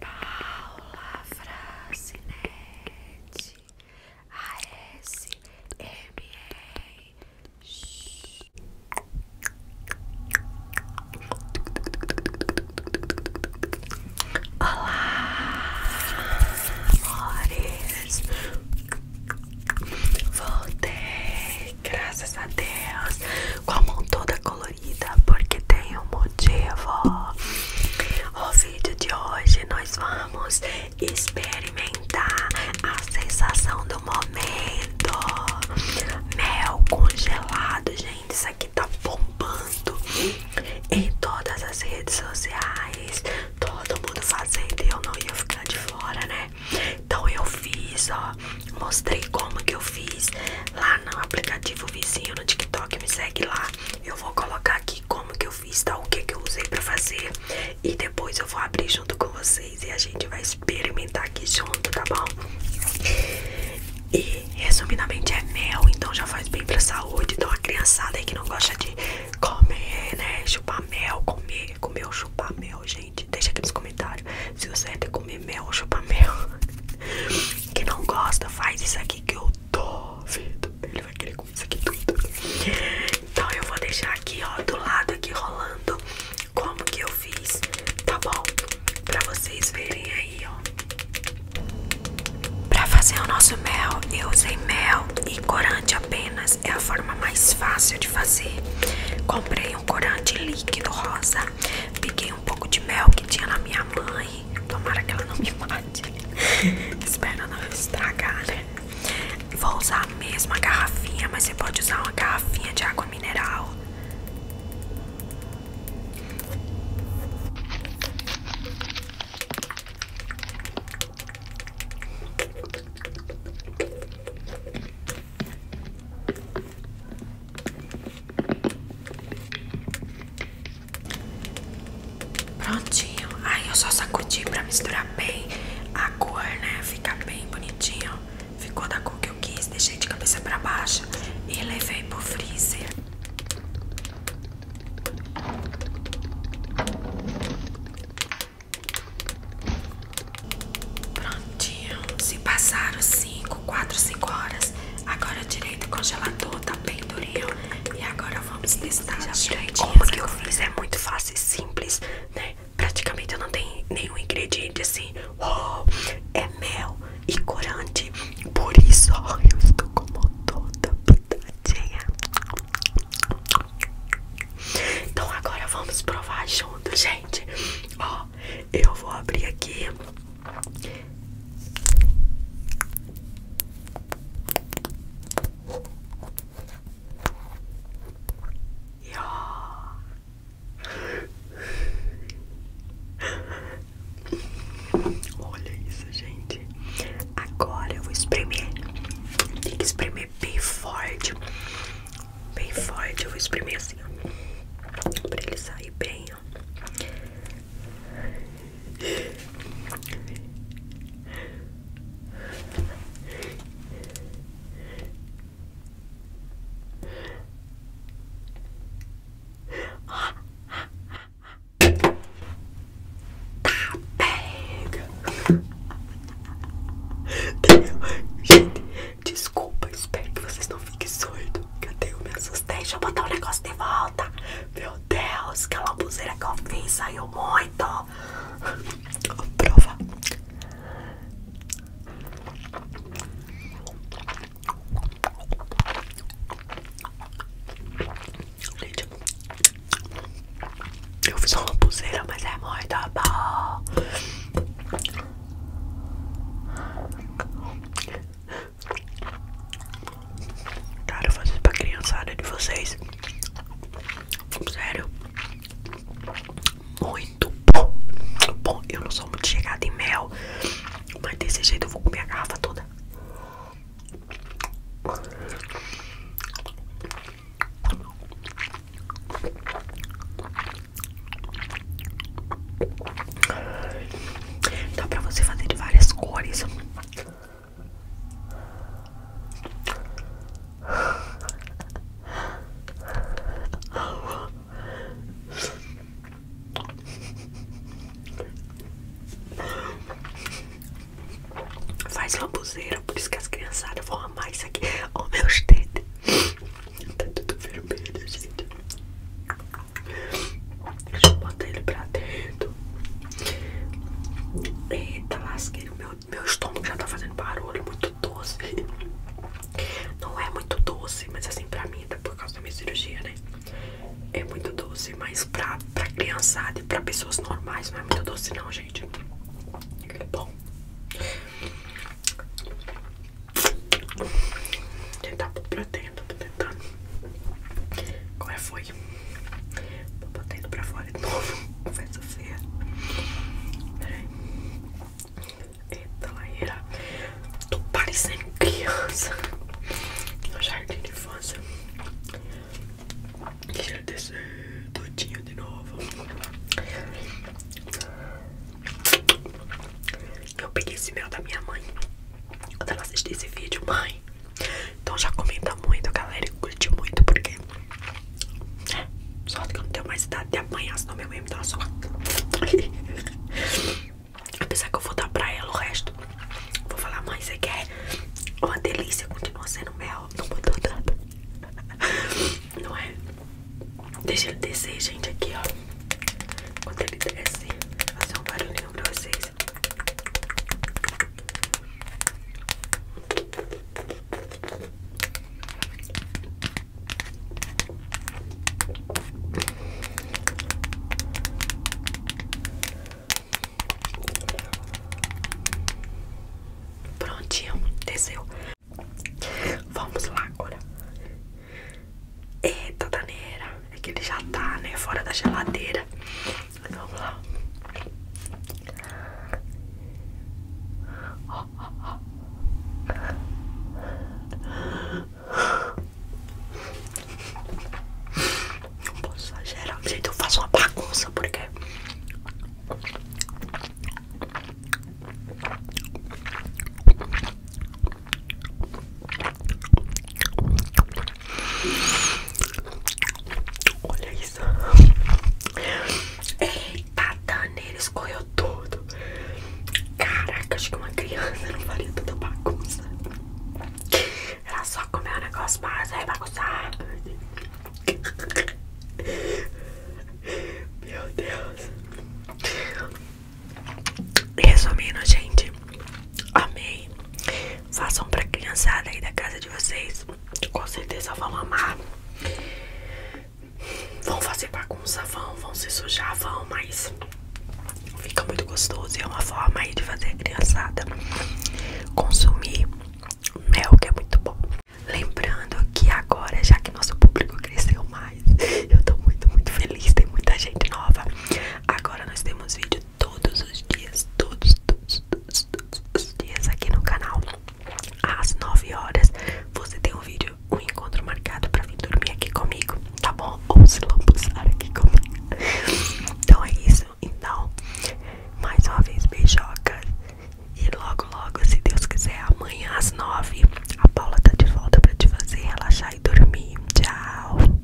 Paula E ASMR Olá, amores Voltei, graças a Deus com a mão toda colorida porque tem um motivo. O vídeo de hoje nós vamos experimentar a sensação do momento. Mel congelado, gente, isso aqui tá bombando em todas as redes sociais. Todo mundo fazendo e eu não ia ficar de fora, né? Então eu fiz, ó. Mostrei como que eu fiz lá no aplicativo vizinho no TikTok, me segue lá. Eu vou colocar aqui como que eu fiz, tá? O que que eu usei pra fazer. E depois eu vou abrir junto com vocês e a gente vai experimentar aqui junto, tá bom? E resumidamente é mel, então já faz bem pra saúde. Então a criançada aí que não gosta de comer, né? Chupar mel, comer, comer ou chupar mel, gente Deixa aqui nos comentários se você quer comer mel ou chupar mel. Quem não gosta, faz isso aqui que eu duvido. Ele vai querer comer isso aqui tudo. Então eu vou deixar aqui, ó, do lado aqui rolando como que eu fiz, tá bom? Pra vocês verem aí, ó. Pra fazer o nosso mel, eu usei mel e corante apenas. É a forma mais fácil de fazer. Comprei um corante líquido rosa. Peguei um pouco de mel que tinha na minha mãe. Tomara que ela não me mate. Espero não estragar, né? Vou usar a mesma garrafinha, mas você pode usar uma garrafinha de água mineral. Prontinho. Aí eu só sacudi pra misturar bem a cor, né? Ficar bem bonitinho. Ficou da cor que eu quis. Deixei de cabeça pra baixo e levei pro freezer. Prontinho. Se passaram 5, 4, 5 horas. Agora direito o congelador, tá bem durinho. E agora vamos testar já Como que eu fiz? É muito fácil e simples, né? Praticamente eu não tenho nenhum ingrediente assim. Uou, é mel e corante. Por isso, ó, eu estou como toda pitadinha. Então agora vamos provar junto, gente. Ó, eu vou abrir aqui. Olha isso, gente. Agora eu vou espremer. Tem que espremer bem forte. Bem forte. Eu vou espremer assim, ó. Pra ele sair bem, Tá pega. Gente, desculpa, espero que vocês não fiquem surdos. Cadê? Eu me assustei. Deixa eu botar o negócio de volta. Meu Deus, aquela é buzeira que eu fiz saiu muito. Prova. Gente, eu fiz uma pulseira, mas é muito bom. Cara, eu faço isso pra criançada de vocês. Sério. Muito bom. Bom, eu não sou muito chegada em mel. Mas desse jeito eu vou comer a garrafa toda. Dá pra você fazer de várias cores. Faz lambuzeira, por isso que as criançadas vão amar isso aqui. Ó, oh, meus dedos. Tá tudo vermelho, gente. Deixa eu botar ele pra dentro. Eita, lasqueiro. Meu, meu estômago já tá fazendo barulho. Muito doce. Não é muito doce, mas assim pra mim, tá por causa da minha cirurgia, né? É muito doce, mas pra, pra criançada e pra pessoas normais não é muito doce não, gente. É bom. Vou tentar pôr tô tentando. Qual é foi? Tô batendo pra fora de novo. Faz a Peraí. Eita, laeira. Tô parecendo criança. No jardim de infância. Deixa eu descer todinho de novo. Eu peguei esse mel da minha mãe. Quando ela assistir esse vídeo, mãe. Então já comenta muito, galera. E curte muito, porque. É, né, só que eu não tenho mais idade até apanhar, senão minha mãe me dá tá uma surra. Apesar que eu vou dar pra ela o resto. Vou falar, mãe, você quer? Uma delícia, continua sendo mel. Não mudou nada. Não é? Deixa ele descer, gente, aqui, ó. Quando ele desce, vai ser um barulhinho pra vocês. Prontinho, desceu. Vamos lá, olha. Eita, daneira. É que ele já tá, né? Fora da geladeira. Vamos lá. Não posso exagerar, gente. Eu faço uma bagunça porque. Olha isso isso. Eita, ele escorreu tudo. Caraca, acho que uma criança não faria tanta bagunça. Ela só comeu um negócio mais aí bagunçar. Meu Deus. Resumindo, gente, amei. Façam pra criançada aí da casa de vocês com certeza vão amar. Vão fazer bagunça, vão, vão se sujar, vão, mas fica muito gostoso e é uma forma aí de fazer a criançada consumir mel, que é muito bom. Lembrando que agora, já que nosso público cresceu mais, eu tô muito, muito feliz, tem muita gente nova. Agora nós temos vídeo todos os dias, todos, todos, todos, todos os dias aqui no canal às 9 horas você tem um vídeo, um encontro marcado pra vir dormir aqui comigo, tá bom? Ou se lambuzar aqui comigo. Então é isso. Então, mais uma vez, beijocas E logo, logo, se Deus quiser, amanhã às 9 a Paula tá de volta pra te fazer relaxar e dormir. Tchau.